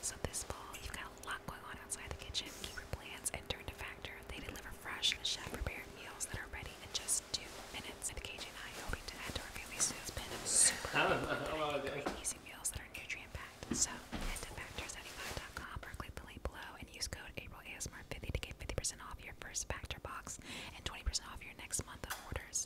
so this fall you've got a lot going on outside the kitchen. Keep your plans and turn to Factor. They deliver fresh, chef-prepared meals that are ready in just two minutes. And Cajun and I hoping to add to our family soon. It's been super great, easy meals that are nutrient-packed. So head to Factor75.com or click the link below and use code AprilASMR50 to get 50% off your first Factor box and 20% off your next month of orders.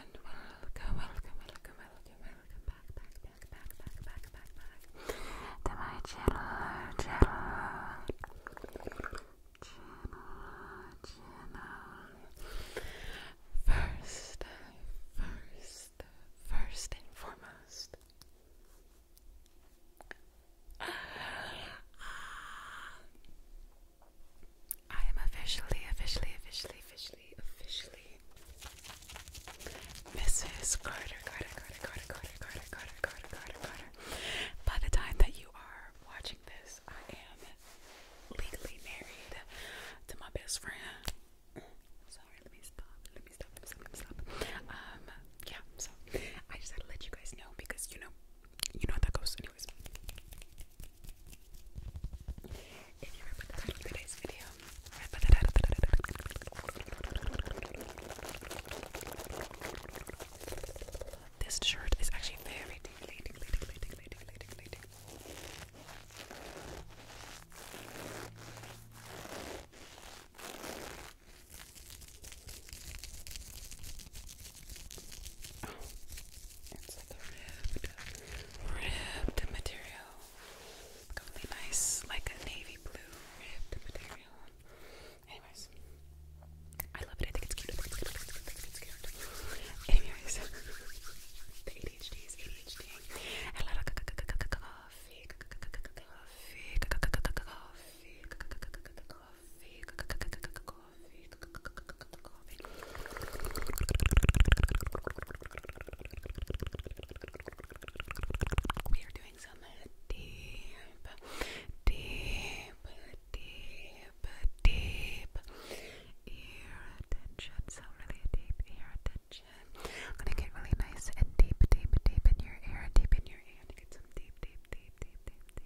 And welcome, welcome, welcome, welcome, welcome back, back, back, back, back, back, back, back to my channel, channel, channel, channel. First, first, first and foremost. I am officially, officially, officially, officially, officially Mrs. Carter, Carter, Carter, Carter, Carter, Carter, Carter, Carter, Carter, Carter. By the time that you are watching this, I am legally married to my best friend. Sorry, let me stop. Let me stop. Let me stop. Um, yeah. So I just had to let you guys know because you know, you know how that goes, anyways. If you remember the title of today's video, remember the title This shirt is actually very tingly, tingly, tingly, tingly, tingly, tingly, tingly. Oh, it's like a ribbed, ribbed material. Really nice, like a navy blue ribbed material. Anyways, I love it. I think it's cute. Anyways, the ADHD is I love Coffee. Coffee. Coffee coffee, coffee, We are doing some deep, deep, deep, deep ear attention. So really deep ear attention. I'm gonna get really nice and deep, deep, deep in your ear, deep in your ear, get some deep, deep, deep, deep, deep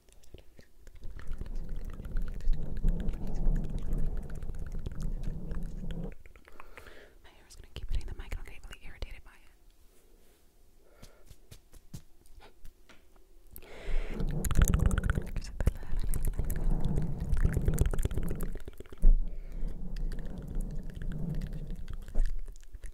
My hair gonna keep hitting the mic I'll get irritated by it.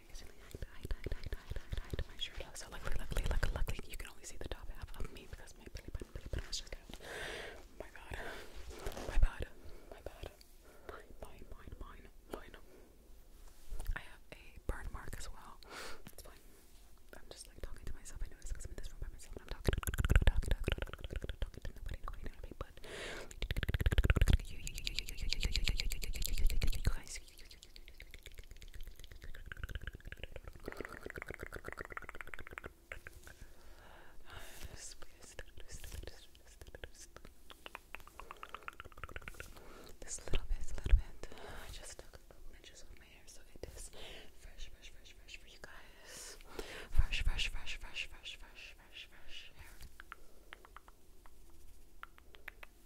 my shirt. So luckily, luckily, luckily, you can only see the top half of me because my belly button, belly just My God, my bad, my bad, mine, mine, mine, mine, I have a burn mark as well. It's fine. I'm just like talking to myself. I notice I'm in this room by myself I'm talking, talking, talking, talking, talking to nobody, nobody, nobody. This little bit, little bit. I just took a couple inches off my hair, so it is fresh, fresh, fresh, fresh for you guys. Fresh, fresh, fresh, fresh, fresh, fresh, fresh, fresh hair.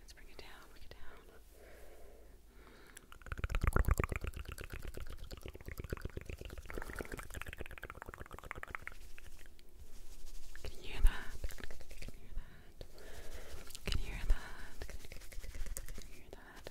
Let's bring it down, bring it down. Can you hear that? Can you hear that? Can you hear that?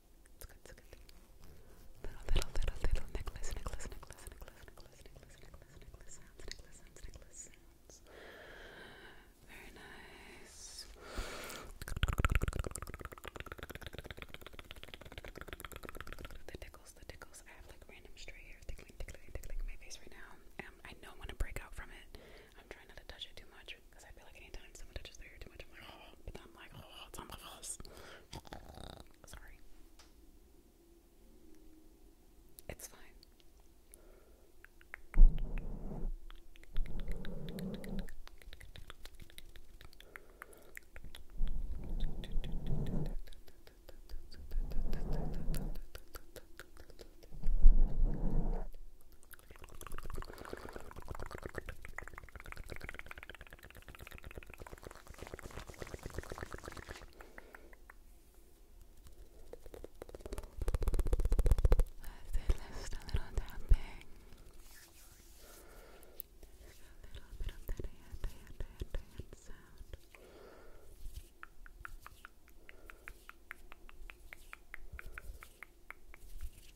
It's good, it's good. Little, little, little, little necklace, necklace, necklace, necklace, necklace, necklace, necklace, necklace sounds, necklace sounds, necklace sounds. Very nice. The tickles, the tickles. I have like random stray hair tickling, tickling, tickling my face right now. Um, I know I'm gonna break out from it. I'm trying not to touch it too much because I feel like anytime someone touches their hair too much, I'm like, oh, but then I'm like, oh, it's on my face. Sorry. It's fine just a little tapping. Just a little bit of that hand, hand, hand, hand sound. Just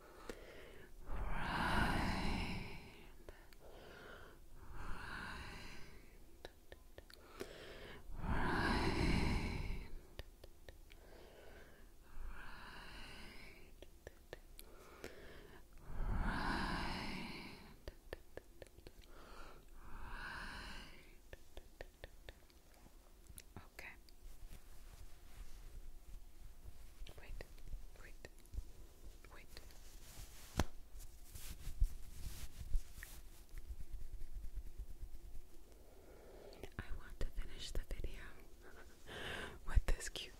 Okay. Wait, wait, I want to finish the video with this cute.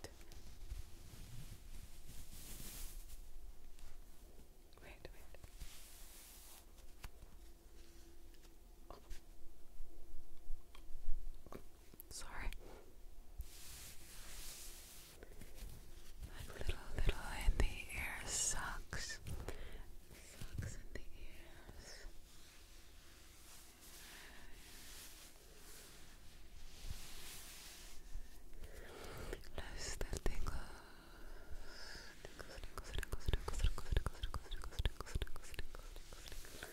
Wait, wait. Sorry. That little, little in the ear sucks. Sucks in the ears. Less the tingles. Tingles, tingles,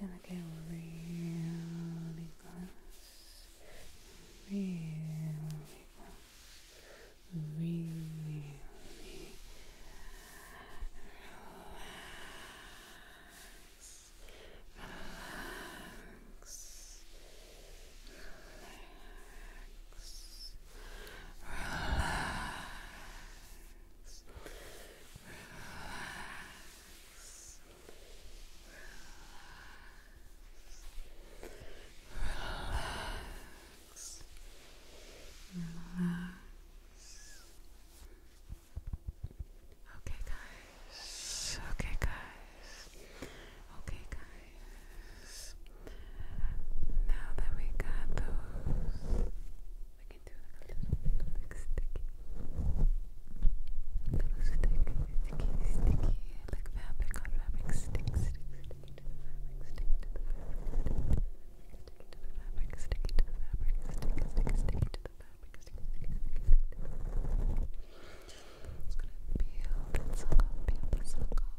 Gonna get really close, really close, really, really relax, relax, relax, relax. Relax. Relax. Okay, guys. Okay, guys. Okay, guys nice. Now that we got those, we can do like a little bit like sticky. Little stick, sticky, sticky, like fabric on fabric, stick, stick, sticky to the fabric, sticky to the fabric, sticky to the fabric, sticky to the fabric, sticky, sticky, to the fabric, sticky, sticky, sticky to the fabric. It's gonna peel that suck off, peel that suck off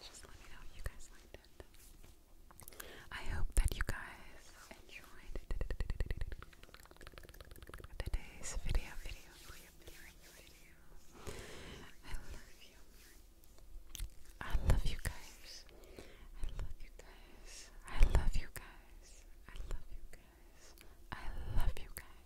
just let me know if you guys liked it. I hope that you guys enjoyed today's video, video, video, video, video. I love you. I love you guys. I love you guys. I love you guys. I love you guys. I love you guys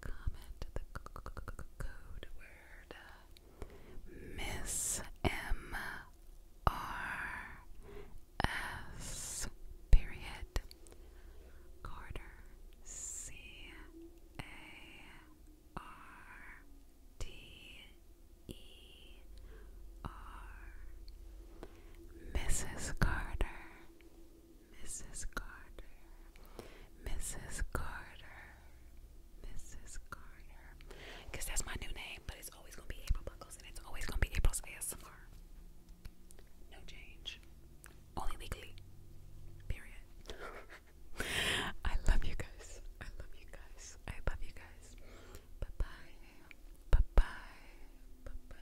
comment the code word Miss M R S period Carter C A R T E R Mrs. Carter Mrs. Carter, Mrs. Carter, Mrs. Carter. Because that's my new name, but it's always going to be April Buckles and it's always going to be April's ASMR. No change. Only weekly. Period. I love you guys. I love you guys. I love you guys. bye. Bye bye. Bye bye.